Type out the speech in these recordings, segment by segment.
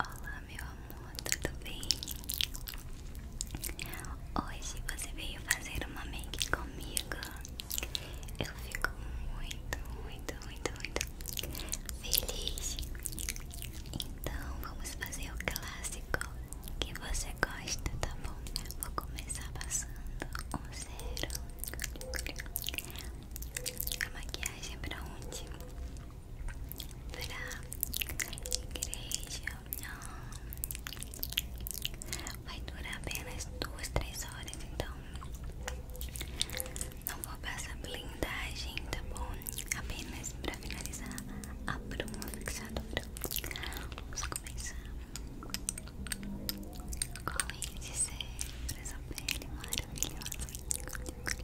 Olá, meu amor, tudo bem? Hoje você veio fazer uma make comigo. Eu fico muito, muito, muito, muito feliz. Então, vamos fazer o clássico que você gosta, tá bom? Vou começar passando um zero. A maquiagem é pra onde? pra igreja. Não. Vai durar apenas duas, três horas, então não vou passar blindagem, tá bom? Apenas pra finalizar a bruma fixadora. Vamos começar com é esse ser, essa pele maravilhosa.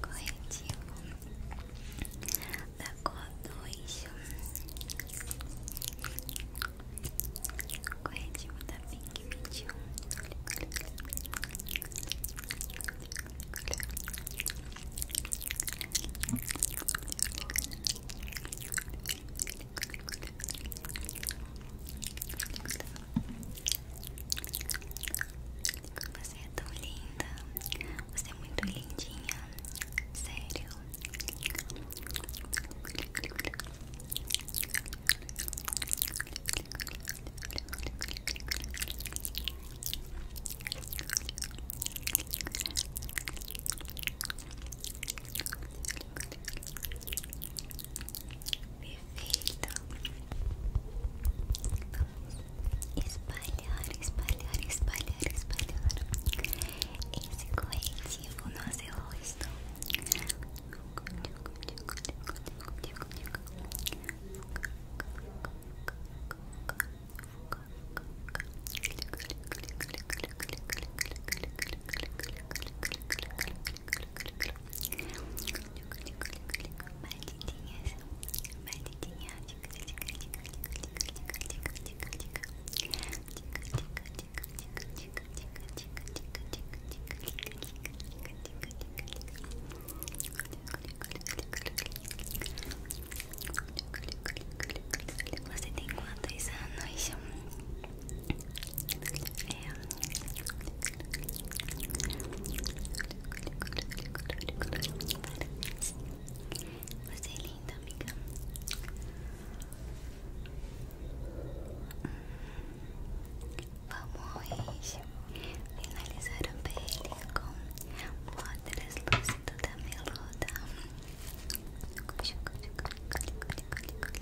corretivo da cor 2 corretivo da Pink 21 Vou você é tão linda. Você é muito lindinha. Sério. Perfeito. Vamos espalhar, espalhar, espalhar, espalhar esse corretivo no seu rosto. Você tem quantos anos? É. Você é linda, amiga. Vamos finalizar o pele com uma translúcido da meluda.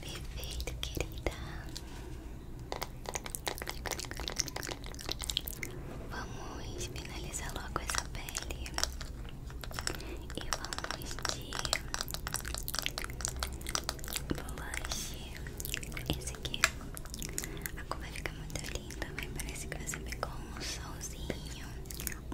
Perfeito, querida. Vamos finalizar logo essa pele e vamos de blush. Esse aqui, a cor vai ficar muito linda, mas parece que você pegou um solzinho,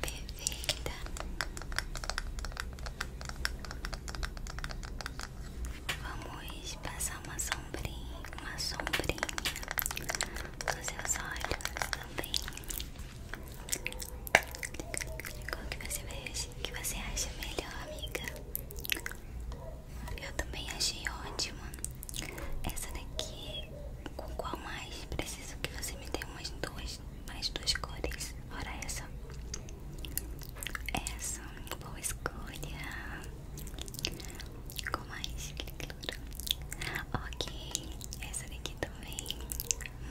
Perfeita. Vamos passar uma sombrinha, uma sombrinha nos seus olhos também. Qual que você, vai, que você acha melhor, amiga? Eu também achei ótima. Essa daqui, com qual mais? Preciso que você me dê umas duas, mais duas cores. olha essa. Essa, boa escolha. Com mais que Ok, essa daqui também.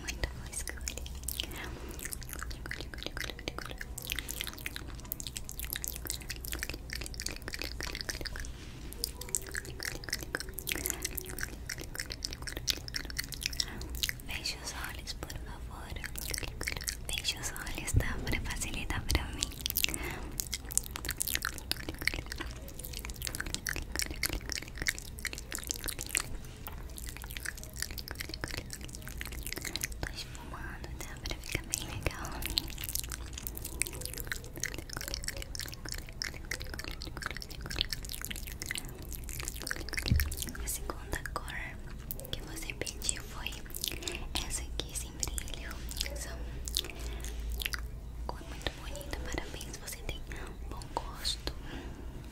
Muito boa escolha. Feche os olhos, por favor. Feche os olhos, tá? Pra facilitar pra mim. Tô esfumando, tá? Né? Pra ficar bem legal. A segunda cor que você pediu foi essa aqui sem brilho. São cor muito bonita. Parabéns, você tem bom gosto.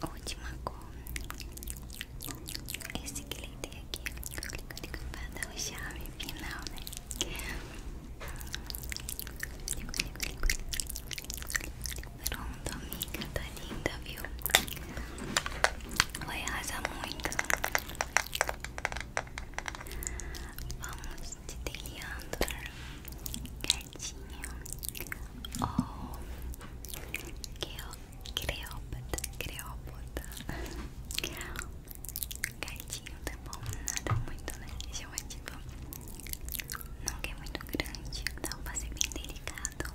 Ótima cor. Esse que ele tem aqui vai dar o charme final, né? Pronto, amiga, tá linda, viu? Vai arrasar muito. Vamos te delineando gatinho ou creópata, creópata gatinho tá bom, nada muito né, chamativo não que é muito grande, então vai ser bem delicado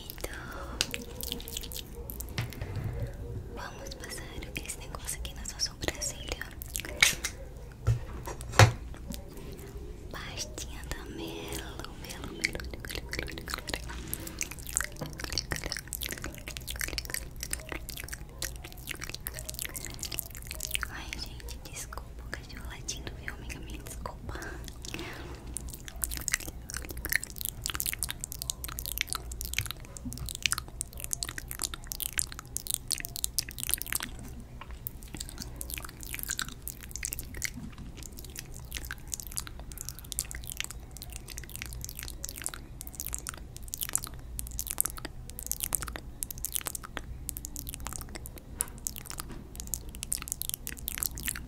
perfeito. Vamos passar esse negócio aqui na sua sobrancelha. Pastinha da melo, melo, melo. Ai, gente, desculpa o cachorro latindo, viu, amiga minha? Desculpa.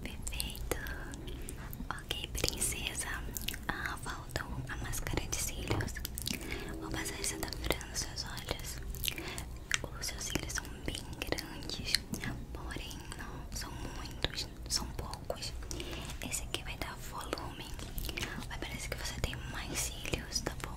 Perfeito. Ok, princesa, ah, faltou a máscara de cílios. Vou passar essa da França nos seus olhos. Os seus cílios são bem grandes, porém não são muitos, são poucos. Esse aqui vai dar volume. Vai parecer que você tem mais cílios, tá bom?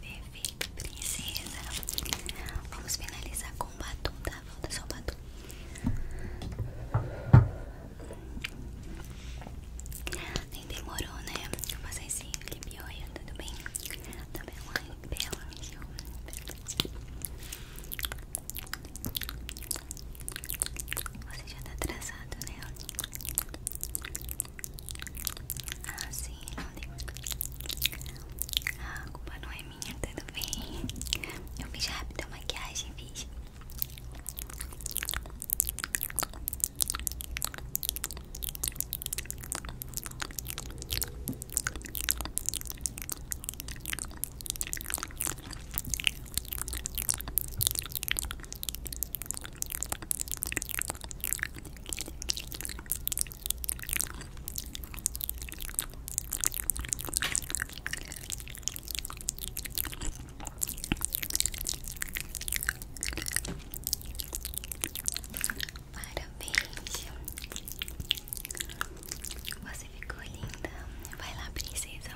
Perfeito, princesa. Vamos finalizar com o batom, tá? Volta só o batom. Nem demorou, né? eu passar esse lip olha, tudo bem? Tá bem, bela. Você já tá atrasado, né? Ah, sim, não é ligo. Ah, culpa não é minha, tudo bem. Eu fiz rápido a maquiagem, fiz. Parabéns. Você ficou linda. Vai lá, princesa.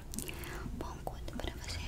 Bom conto para você.